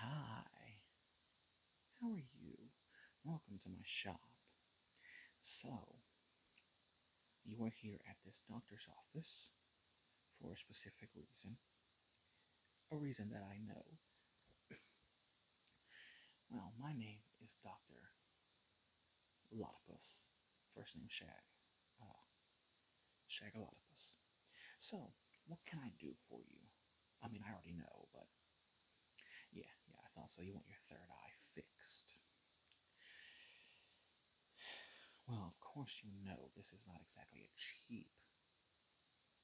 Hi, how are you? Welcome to my shop. So, you are here at this doctor's office for a specific reason. A reason that I know. well, my name is Dr. Lotopus. First name Shag. Uh, Shagalotopus. So, what can I do for you? I mean, I already know, but yeah, yeah, I thought so. You want your third eye fixed. Well, of course, you know this is not exactly a cheap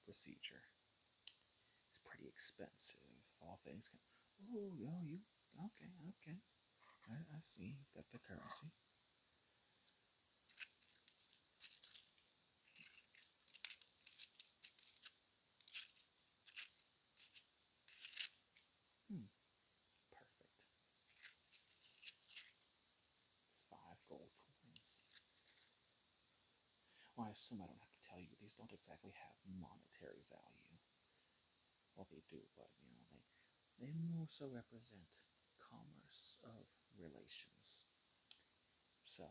procedure. It's pretty expensive, all things can. Oh, yo, you. Okay, okay. I see. You've got the currency. Hmm. Perfect. Five gold coins. Well, I assume I don't have to tell you, these don't exactly have monetary value. Well, they do, but, you know, they, they also represent commerce of relations. So,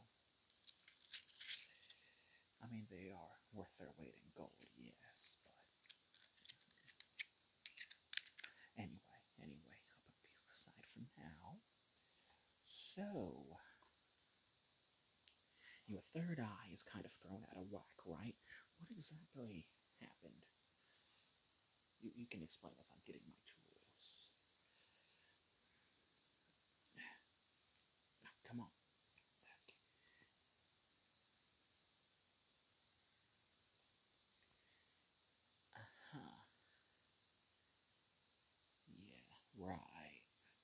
I mean, they are worth their weight in gold, yes, but anyway, anyway, I'll put aside for now. So, your third eye is kind of thrown out of whack, right? What exactly happened you, you can explain as I'm getting my tools. come on. Uh-huh. Yeah, right.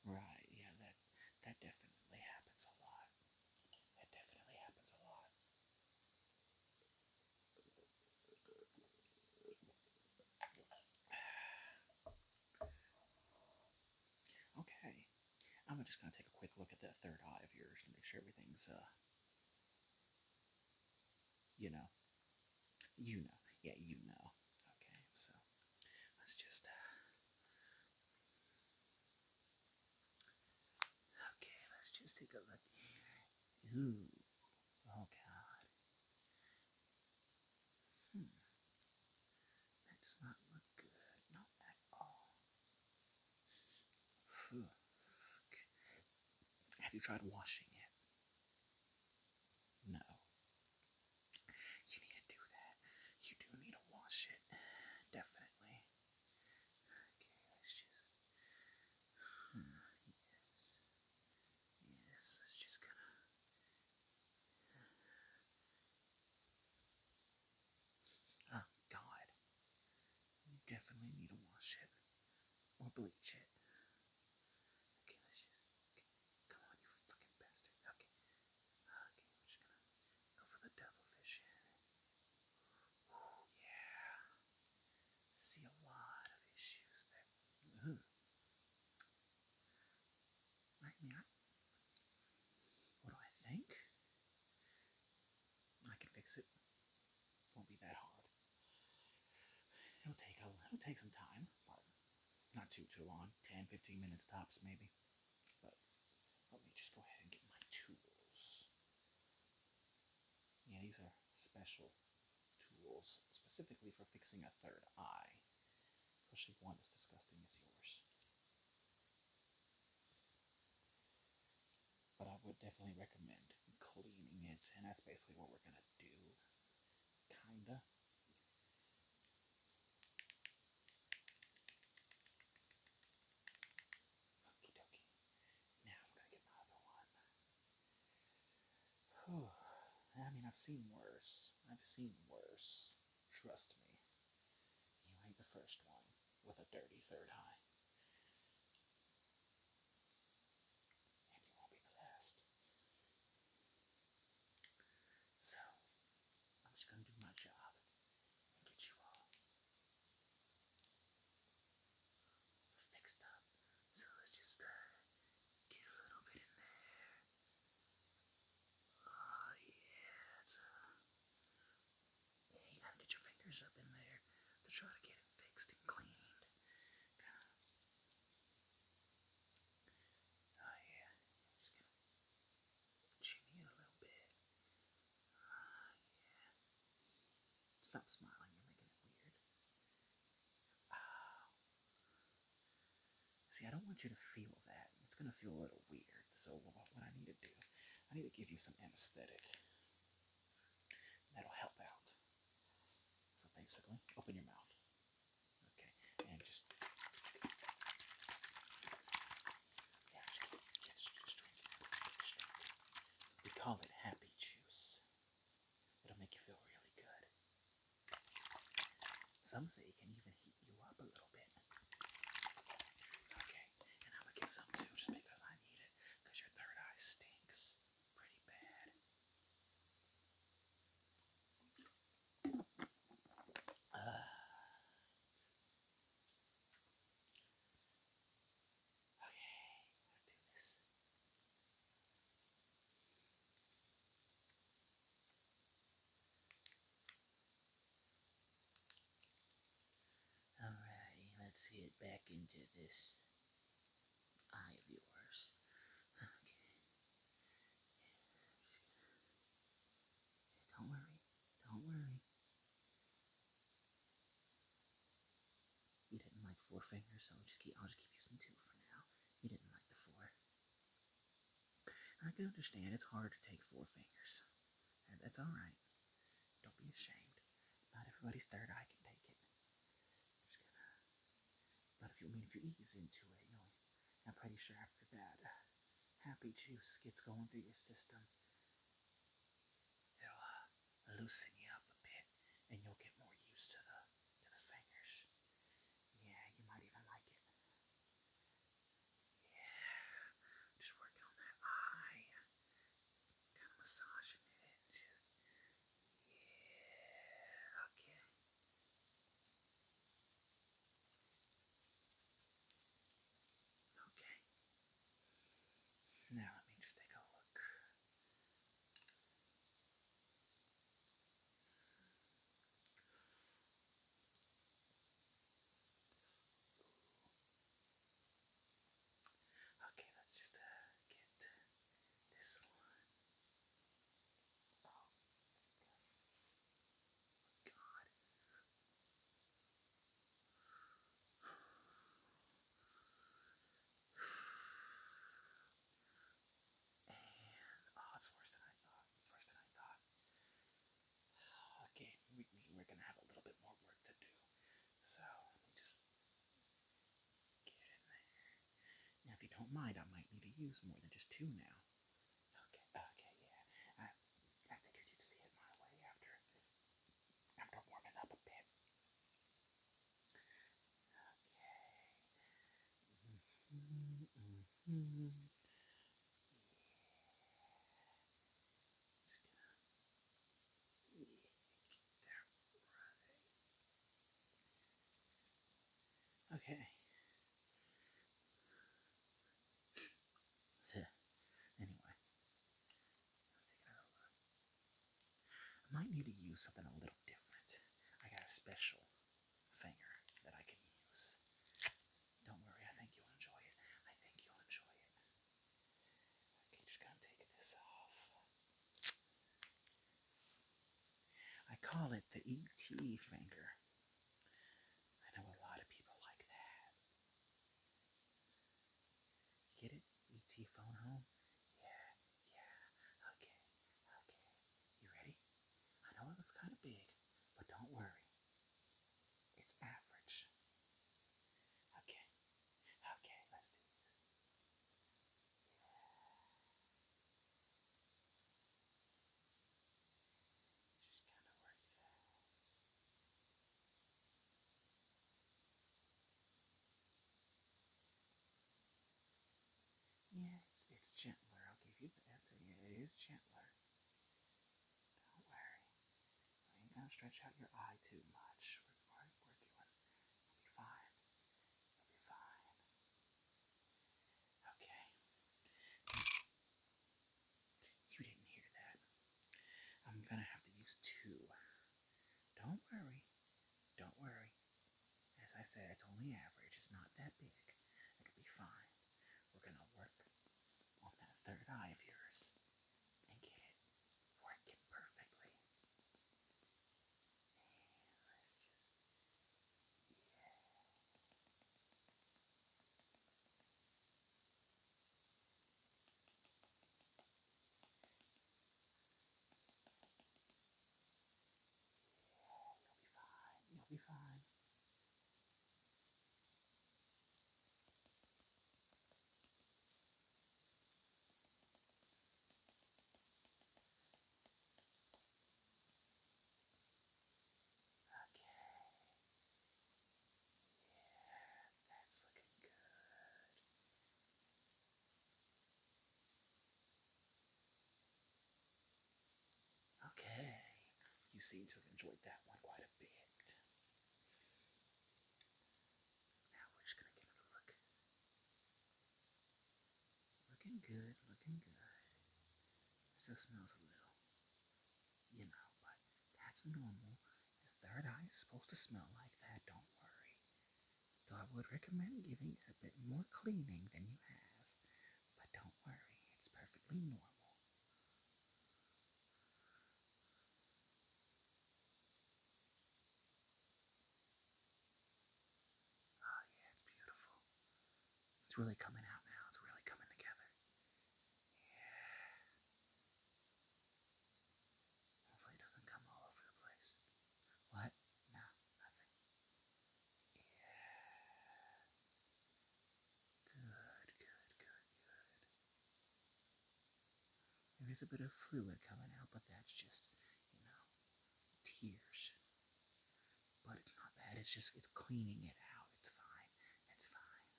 Right, yeah, that that definitely happens a lot. That definitely happens a lot. Okay. I'm just going to take a quick look at that third eye of yours to make sure everything's, uh, you know. You know. Yeah, you know. Okay, so let's just, uh, Okay, let's just take a look here. Ooh. Oh, God. Hmm. That does not look good. Not at all. Have you tried washing it? No. You need to do that. You do need to wash it. Definitely. Okay, let's just Oh, God. You definitely need to wash it or bleach it. Okay, let's just. Come on, you fucking bastard. Okay. Okay, I'm just gonna go for the devilfish here yeah. See a lot of issues that ugh, mm-hmm. like me. what do I think? I can fix it. Won't be that hard. It'll take it'll take some time, not too too long. 10, minutes tops maybe. But let me just go ahead and get my tools. Yeah, these are special tools specifically for fixing a third eye, especially one as disgusting as yours. But I would definitely recommend cleaning it, and that's basically what we're gonna do, kinda. Okie dokie. Now I'm gonna get my other one. I mean, I've seen worse. I've seen worse. Trust me. You ain't the first one with a dirty third eye. And you won't be the last. So, I'm just gonna do my job which you are fixed up. So let's just uh, get a little bit in there. Oh yeah, yeah, you gotta get your fingers up in there to try to get it fixed and cleaned. Oh yeah, just going a little bit. Stop smiling, you're making it weird. Oh. See, I don't want you to feel that. It's going to feel a little weird. So what I need to do, I need to give you some anesthetic. That'll help out. So basically, open your mouth. Okay, and just... We call it happy juice. It'll make you feel really good. Some say it can even heat you up a little bit. Okay, and I'm gonna get some too just because I need it, your third eye stinks pretty bad. Okay, let's do this. Alrighty, let's get back into this eye of yours. Okay. don't worry, don't worry. You didn't like four fingers, so i just keep, I'll just keep using two for now. You didn't like the four. I can understand it's hard to take four fingers. And that's alright. Don't be ashamed. Not everybody's third eye can take it. I'm But if you I mean if ease into it, I'm pretty sure after that. Uh, happy juice gets going through your system, it'll uh, loosen you up a bit and you'll get more used to the to the fingers. Yeah, you might even like it. Yeah, just work on that eye, kind of massaging it, just yeah, okay. Okay. Now let me just take a look. Okay, let's just uh, get this one. Oh, oh, it's worse than I thought. It's worse than I thought. Okay, we, are gonna have a little bit more work to do. So let me just get in there. Now, if you don't mind, I might need to use more than just two now. Okay, okay, yeah. I figured you'd see it my way after after warming up a bit. Okay. Yeah. Just gonna keep that Okay anyway, I might need to use something a little different. I got a special finger that I can use. Don't worry, I think you'll enjoy it. I think you'll enjoy it. Okay, just gonna take this off. I call it the ET finger I know a lot of people like that. Get it? ET phone home? Yeah, yeah. Okay, okay. You ready? I know it looks kind of big, but don't worry. It's average. Okay, okay, let's do this. Yeah. Yeah, it's, it's gentler. I'll give you the answer. Yeah, it is gentler. Don't worry. I ain't gonna stretch out your eye too much. We're, we We'll be fine. We'll be fine. Okay. You didn't hear that. I'm going to have to use two. Don't worry. Don't worry. As I said, it's only average. It's not that big. It'll be fine. We're going to work on that third eye of yours and get it working perfectly. And let just you'll be fine. You'll be fine. Okay. Yeah, that's looking good. Okay, you seem to have enjoyed that one quite a bit. Now we're just going to give it a look Looking good, looking good. Still smells a little. You know, but that's normal. The third eye is supposed to smell like that, don't worry. Though I would recommend giving it a bit more cleaning than you have. But don't worry, it's perfectly normal. Oh, yeah, it's beautiful. It's really coming out now. It's really coming together. Yeah. Hopefully, it doesn't come all over the place. What? No, nothing. Yeah. Good, good, good, good. There is a bit of fluid coming out, but that's just, you know, tears. But it's not that, it's just it's cleaning it out. It's fine. It's fine.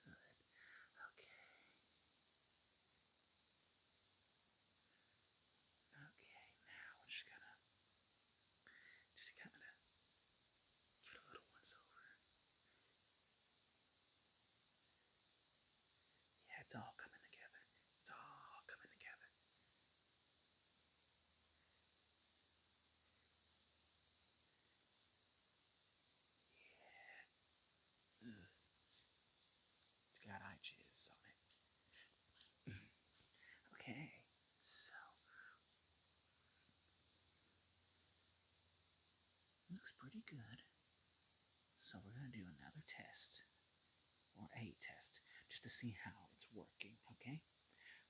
Good. Okay. Okay, now we're just gonna just kinda give it a little once over. Yeah, it's all coming together. It's all coming together. Yeah. It's got eye jizz on it. okay, so. Looks pretty good. So we're going to do another test, or a test, just to see how it's working, okay?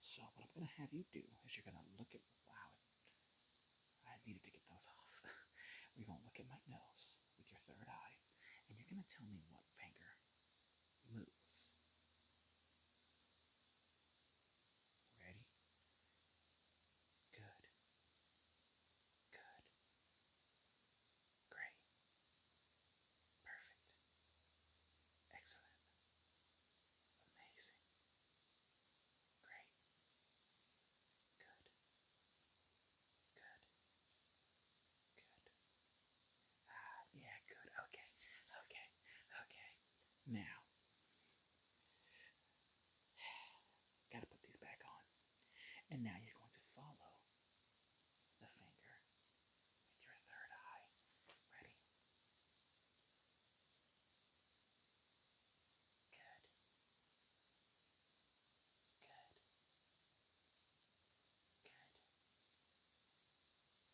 So what I'm going to have you do is you're going to look at, wow, I needed to get those off. we're going to look at my nose with your third eye, and you're going to tell me what finger moves. Ready? Good. Good. Great. Perfect. Excellent. Amazing. Great. Good. Good. Good. Ah, yeah, good. Okay. Okay. Okay. Now. Gotta put these back on. And now you're going to follow the finger with your third eye. Ready? Good. Good. Good.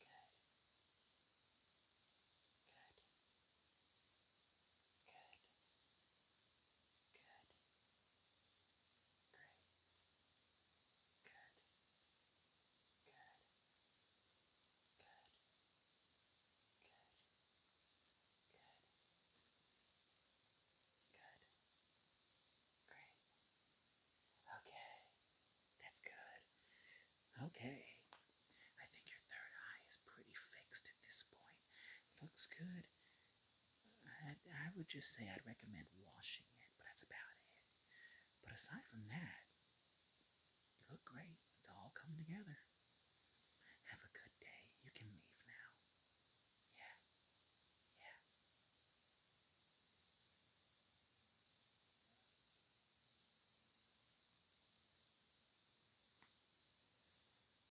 Good. Good. Good. Great. Good. Good. Good. Good. Good. Good. Great. Okay. That's good. Okay. I think your third eye is pretty fixed at this point. Looks good. I, would just say I'd recommend washing it, but that's about it. But aside from that, you look great. It's all coming together. Have a good day. You can leave now. Yeah. Yeah.